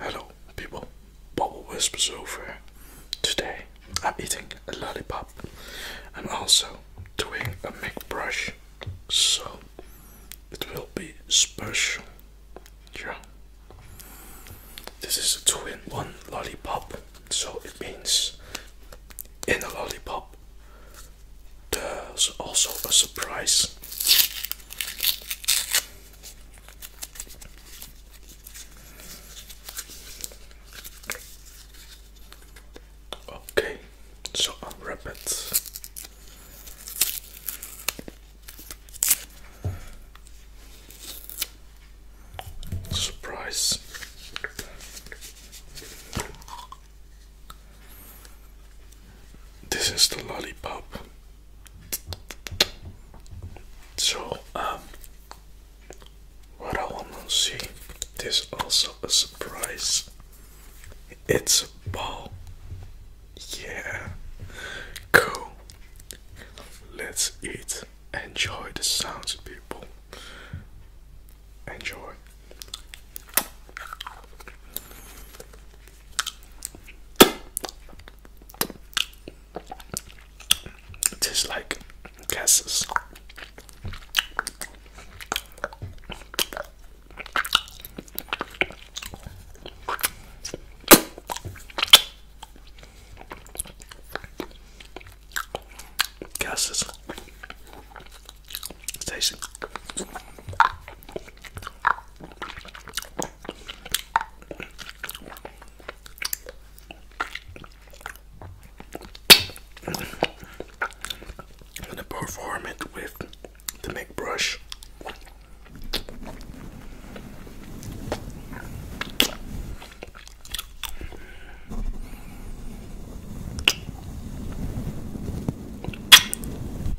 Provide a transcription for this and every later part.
Hello people, Bubble Whispers over. Today I'm eating a lollipop and also doing a mic brush, so it will be special. Yeah. This is a 2 one lollipop, so it means in a lollipop there's also a surprise. Okay, so wrap it. Surprise. This is the lollipop. So, um, what I want to see is also a surprise. It's a ball. Yeah, cool. Let's eat. Enjoy the sounds, people. Enjoy. It tastes like gases. Gases. It's I'm perform it with the make brush.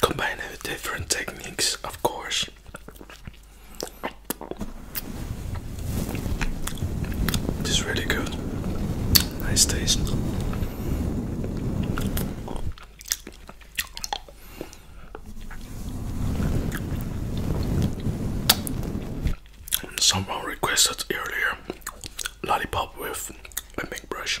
Combined with different techniques, of course. This is really good. Nice taste someone requested earlier lollipop with a big brush.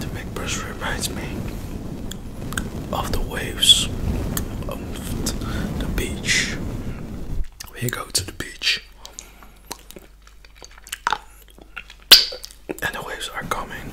The big brush reminds me of the waves of the beach. We go to the beach, and the waves are coming.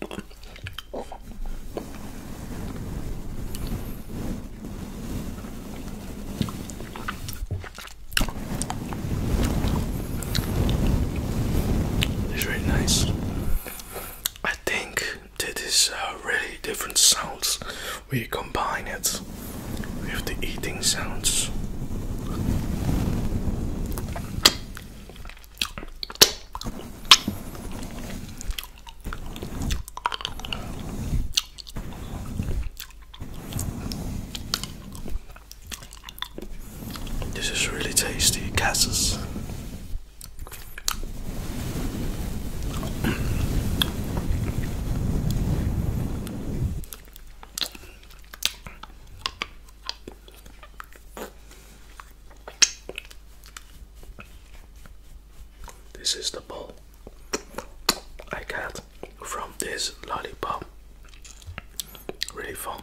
It's really nice. I think that is a uh, really different sounds. We combine it with the eating sounds. This is really tasty, Cassis. This is the ball I got from this lollipop. Really fun.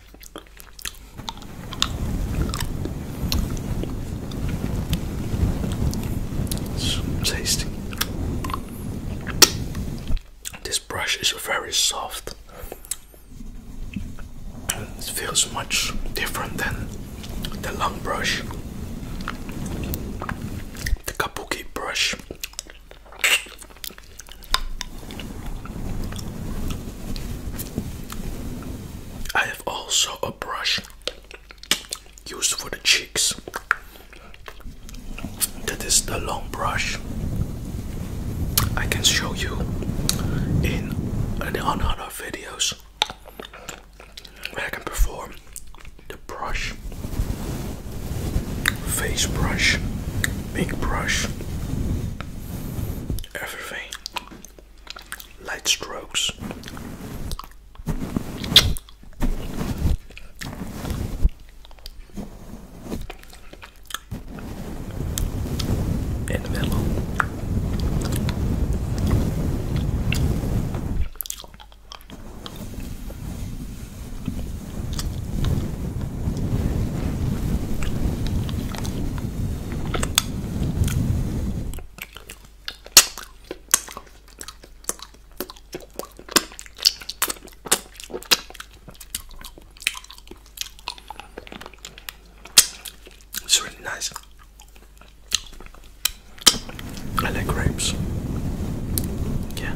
tasty. This brush is very soft. It feels much different than the long brush. The kabuki brush. I I have also a brush used for the cheeks. That is the long brush. I can show you in on other videos where I can perform the brush, face brush, big brush, everything light strokes. In the middle. It's really nice. I like grapes. Yeah.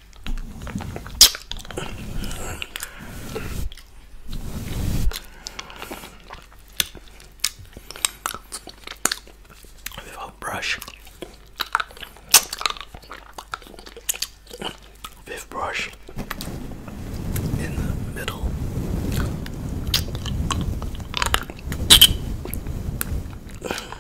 Without brush, with brush in the middle.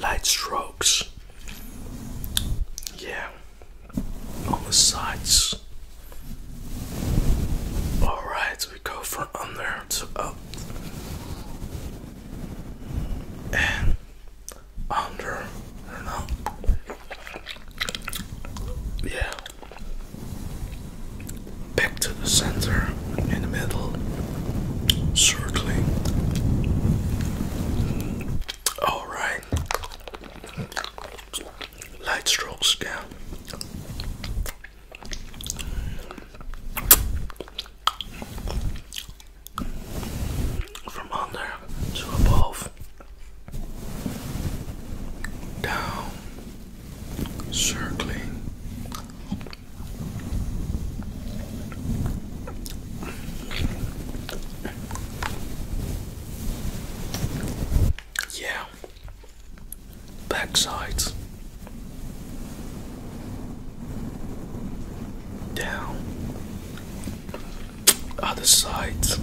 Light strokes, yeah, on the sides. All right, we go from under to up and under up. Yeah. Back to the center in the middle, circling. All right. Light strokes down. From under to above down, circling. Yeah, back sides down other sides.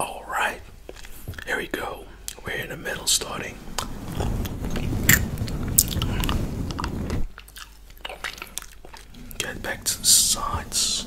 All right, here we go. We're in the middle starting. Get back to the sides.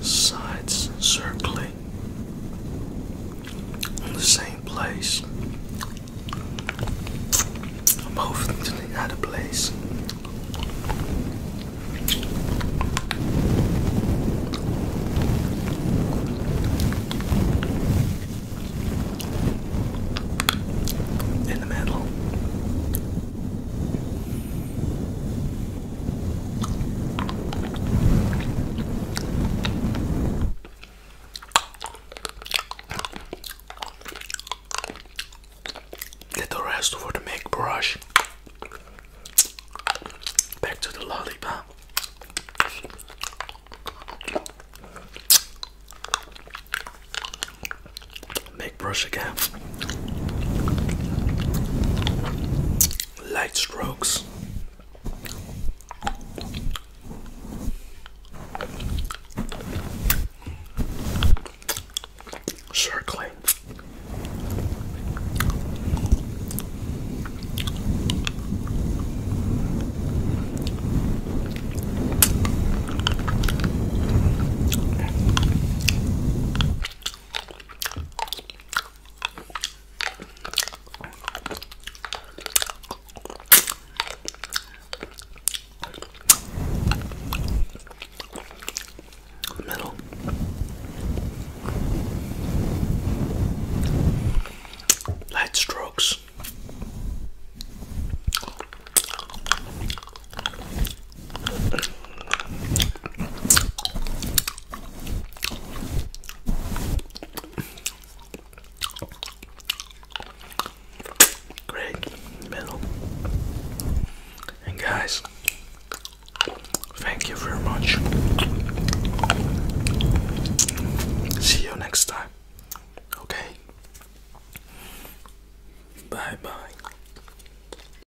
sides circling in the same place. Both to the other place. In the middle. Get the rest for the make brush. Back to the lollipop brush again. Light strokes. Circling. Middle. Light strokes. Great middle. And guys, thank you very much. See you next time. Okay. Bye bye.